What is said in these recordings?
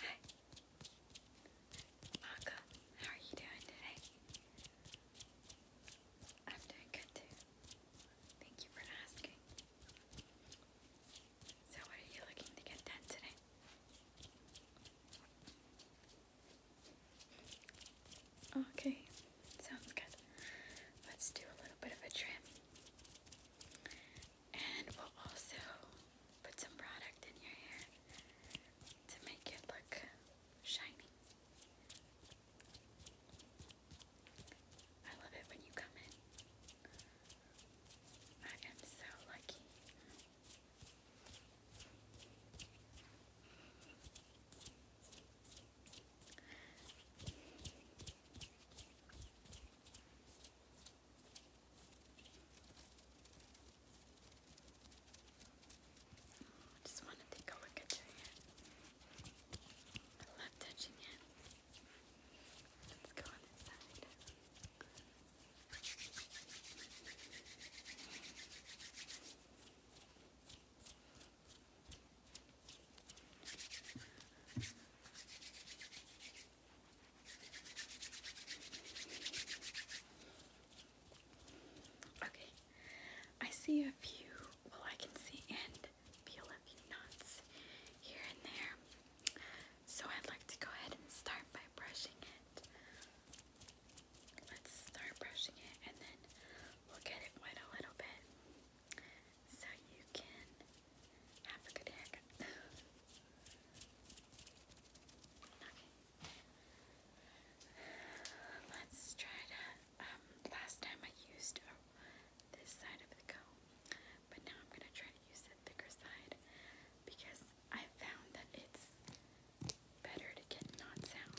Hi. Maka, how are you doing today? I'm doing good too. Thank you for asking. So what are you looking to get done today? Okay, sounds good. Let's do a little bit of a trim. And we'll also put some product in your hair to make it look shiny. I love it when you come in. I am so lucky. I just want to take a look at your I love touching it. Let's go on this side. Okay, I see a few, well, I can see a few knots here and there. So I'd like to go ahead and start by brushing it. Let's start brushing it and then we'll get it wet a little bit so you Let's try to, um, last time I used this side of the comb, but now I'm going to try to use the thicker side because I found that it's better to get knots out.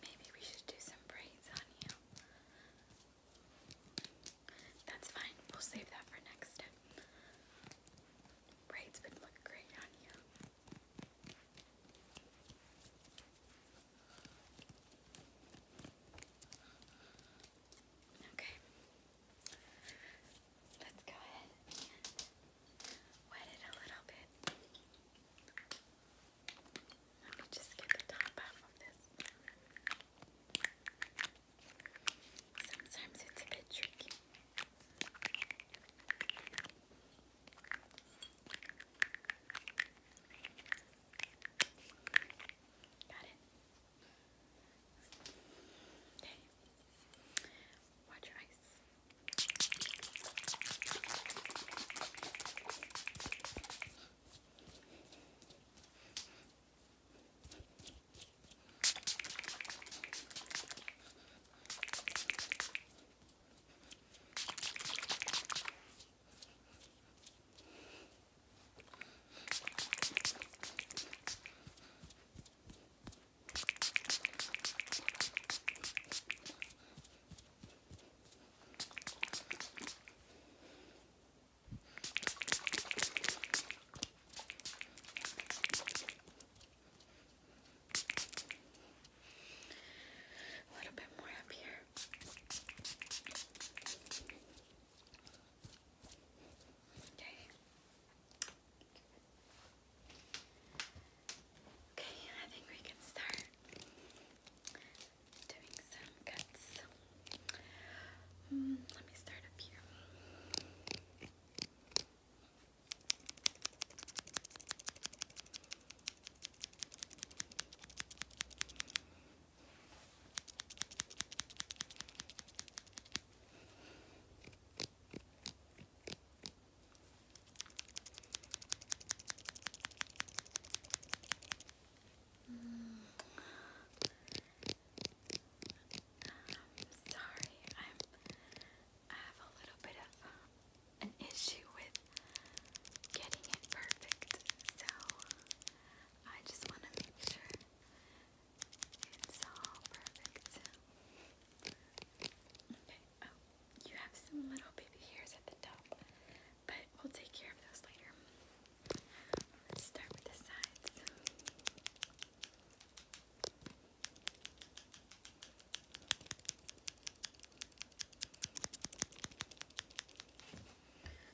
Maybe we should do some braids on you. That's fine, we'll save that for next step. Braids would look great on you. Okay. Let's go ahead wet it a little bit. Let me just get the top off of this. Sometimes it's a bit tricky. Got it. Okay. Watch your eyes. Okay. A little bit more up here. Okay. Okay, I think we can start doing some cuts. Mm, let me start up here. Mm. I'm sorry, I have a little bit of an issue with getting it perfect, so I just want to make sure it's all perfect. Okay. Oh, you have some little baby hairs at the top, but we'll take care of those later. Let's start with the sides.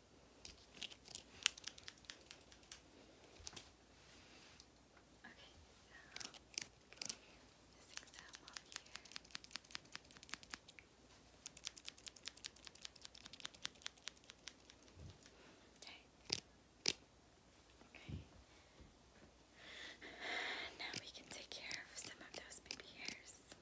Okay, so this exam up here. Okay. Okay. Now we can take care of some of those baby hairs. Okay.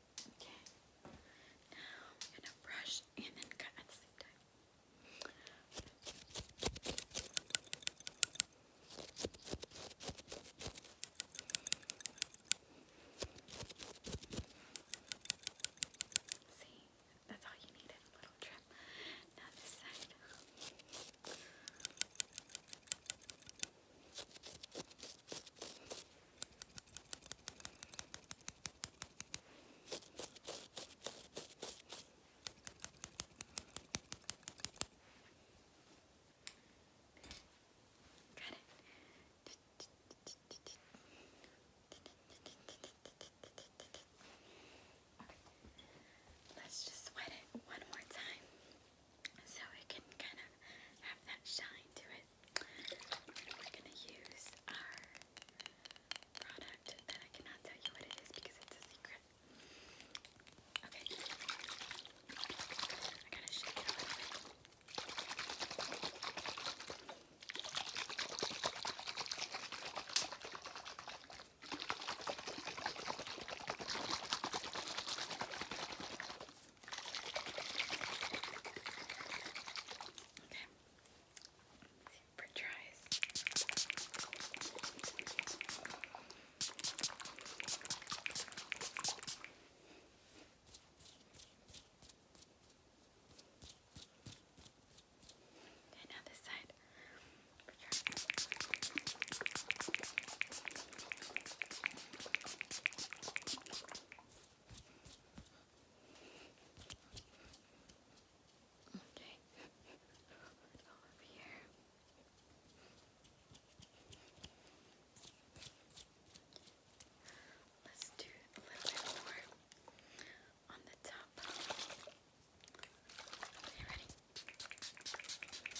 Okay. Now I'm brush and then cut at the same time. See, that's all you need a little trim. Now this side. Got it. Let's just sweat it one more time so it can kind of have that shine to it we're gonna use our product that I cannot tell you what it is because it's a secret. Okay. I gotta shake it a Okay. Super dries. And now this side. Okay. Okay. Let's go over here. Let's do a little bit more on the top. Okay, ready? Okay.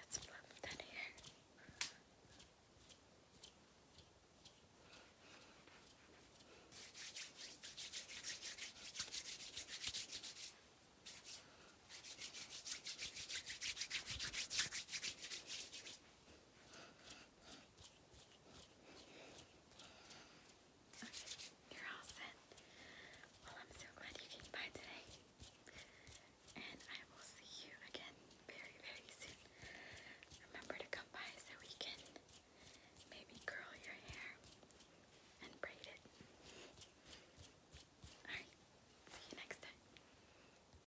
Let's plump that hair. Okay, you're all set. Well, I'm so glad you came by today. And I will see you again very, very soon. Remember to come by so we can maybe curl your hair and braid it. Alright, see you next time.